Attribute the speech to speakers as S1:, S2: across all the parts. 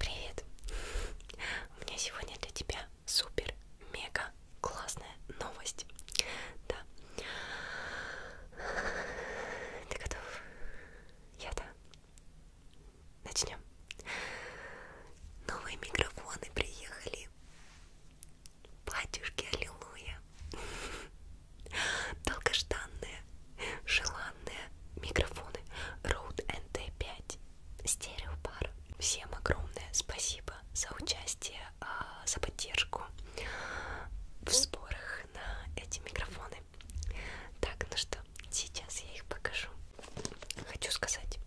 S1: Привет! У меня сегодня для тебя супер, мега, классная новость. Да. Ты готов? Я да. Начнем. Новые микрофоны приехали. Батюшки, аллилуйя. Долгожданные, желанные микрофоны Rode NT5 стереопар. Всем огромное спасибо за участие, а, за поддержку в сборах на эти микрофоны. Так, ну что, сейчас я их покажу. Хочу сказать,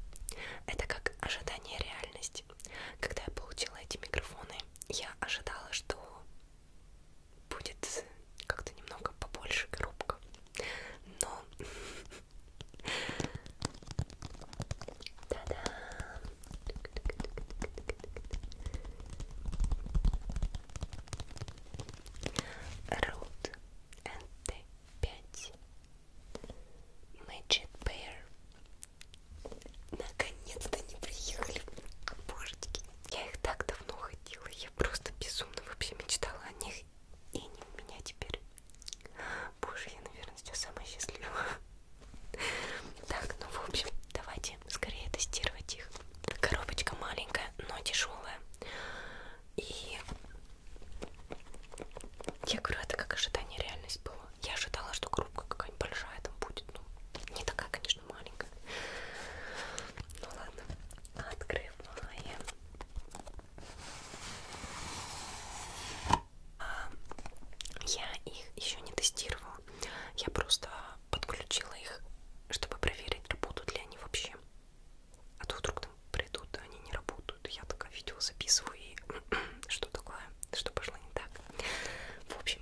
S1: это как ожидание реальности. Когда я получила эти микрофоны, я ожидала, что будет как-то немного побольше коробка. Но... Та-да! Road NT5 Magic Bear Наконец-то они приехали. Божечки, я их так давно ходила. Я просто безумно вообще мечтала о них. И они у меня теперь. Боже, я, наверное, сейчас самая счастливая. Так, ну в общем, давайте скорее тестировать их. Коробочка маленькая, но тяжелая. И я говорю, это как ожидание реальность было. Я ожидала, что коробка какая-нибудь большая там будет. Ну, не такая, конечно, маленькая. Ну ладно. Открываем. Я их еще не тестировала. Я просто подключила их, чтобы проверить, работают ли они вообще. А то вдруг там придут, а они не работают. Я такое видео записываю и что такое, что пошло не так. В общем,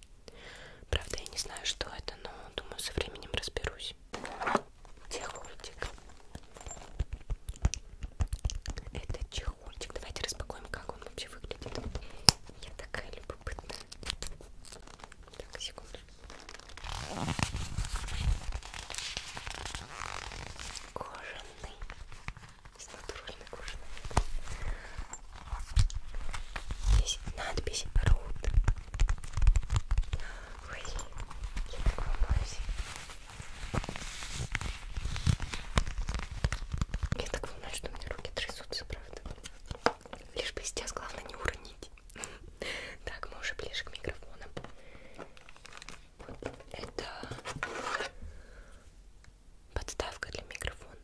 S1: Правда, я не знаю, что это, но думаю, со временем разберусь. Чехольчик. Это чехольчик. Давайте распакуем, как он вообще выглядит. Я такая любопытная. Так, секунду. Кожаный с натуральной кожи. Здесь надпись Root. Ой, я так волнуюсь. Я так волнуюсь, что у меня руки трясутся, правда. Лишь бы сейчас главное не уронить. Так, мы уже ближе к микрофонам. Это подставка для микрофона.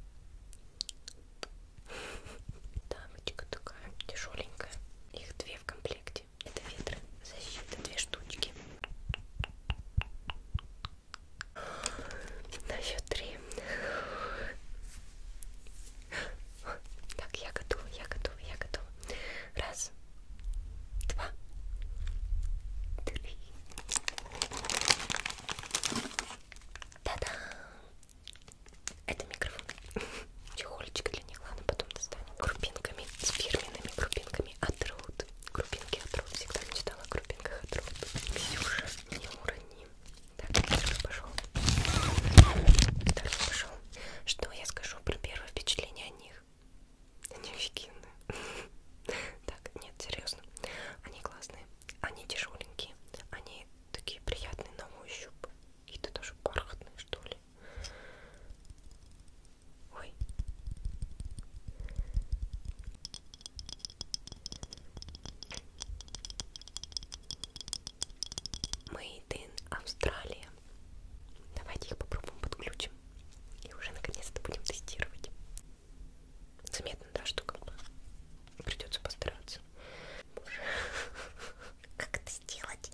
S1: Дамочка такая тяжеленькая. Их две в комплекте. Это ветры. Защита две штучки. На счет три. Так, я готова, я готова, я готова. Раз, два, три. Та-дам! Это микрофон. Чехольчик для них. Ладно, потом достанем. Крупинками. С фирменными крупинками от Руд. Крупинки от Руд. Всегда мечтала о крупинках от Руд. Ксюша, не урони. Так, второй пошел. Второй пошел. Что я скажу про первое впечатление о них? Они офигенные. Так, нет, серьезно. Они классные, они тяжеленькие, они такие приятные на ощупь. Какие-то даже бархатные, что ли. Ой. Made in Австралия. Давайте их попробуем подключим. И уже наконец-то будем тестировать. Заметно, да, что как бы придется постараться. Боже. Как это сделать?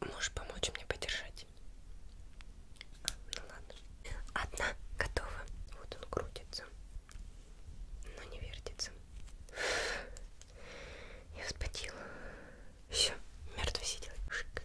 S1: Можешь помочь мне подержать? А, ну ладно. Одна готова. Вот он крутится. Но не вертится. Я вспотела. Все, мертвый сидел. Шик.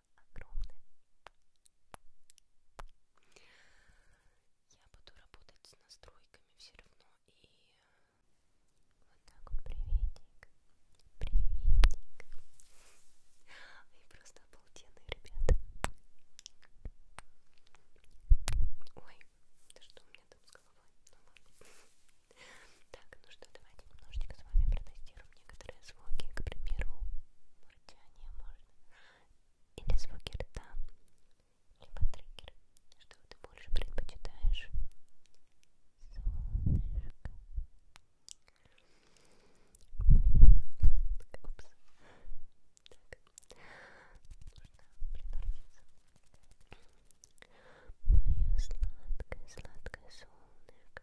S1: спасибо огромное. Я буду работать с настройками все равно и вот так вот приветик, приветик. Они просто обалденные ребята. Ой, да что у меня там с головой? Ну ладно. Так, ну что, давайте немножечко с вами протестируем некоторые звуки, к примеру, мурчание можно, или звуки рта, либо триггер, что ты больше предпочитаешь. Солнышко. Моя Упс. Так. Нужно приноровиться. Мое сладкое, сладкое солнышко.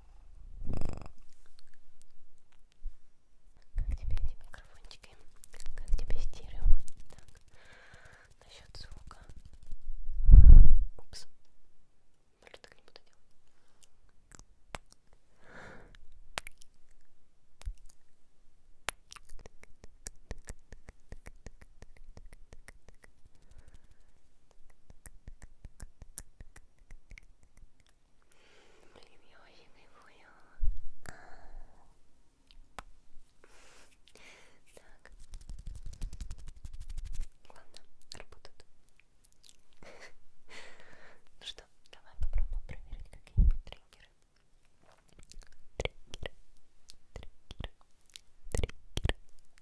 S1: Как тебе эти микрофончики? Как тебе стерео? Так, насчет звука. Упс. Блин, так не буду делать. Блин, я очень кайфую. Так. Главное, работают. Ну что, давай попробуем проверить какие-нибудь триггеры. Триггеры, триггеры, триггеры,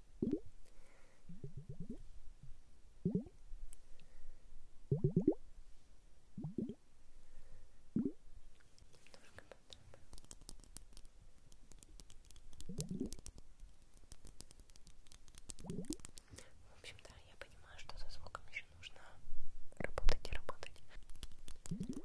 S1: В общем, да, я понимаю, что со звуком еще нужно работать и работать. М -м -м.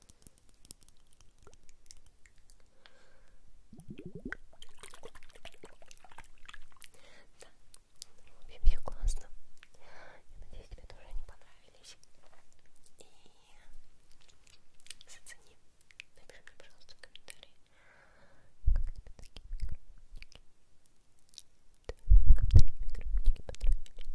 S1: Да, в общем, все классно. Я надеюсь, тебе тоже они понравились. И зацени. Напиши мне, пожалуйста, в комментарии, как тебе такие микрофончики. Как такие микрофончики понравились.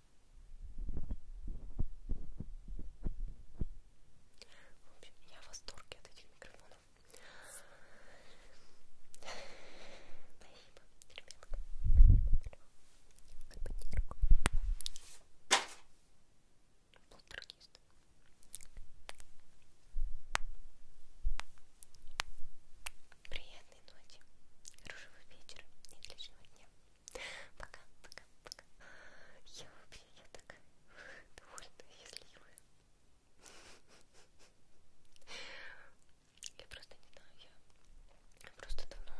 S1: в общем, я в восторге от этих микрофонов. Спасибо, ребятка. Спасибо, Полтергист. Приятной ночи, хорошего вечера и отличного дня. Пока, пока, пока. Я вообще, я так довольна, счастливая. Я просто не знаю, я, я просто давно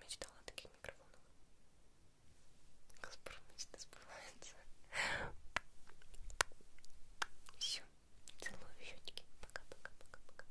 S1: мечтала о таких микрофонах. Господи, мечта сбывается. Все, целую щечки. Пока-пока-пока-пока.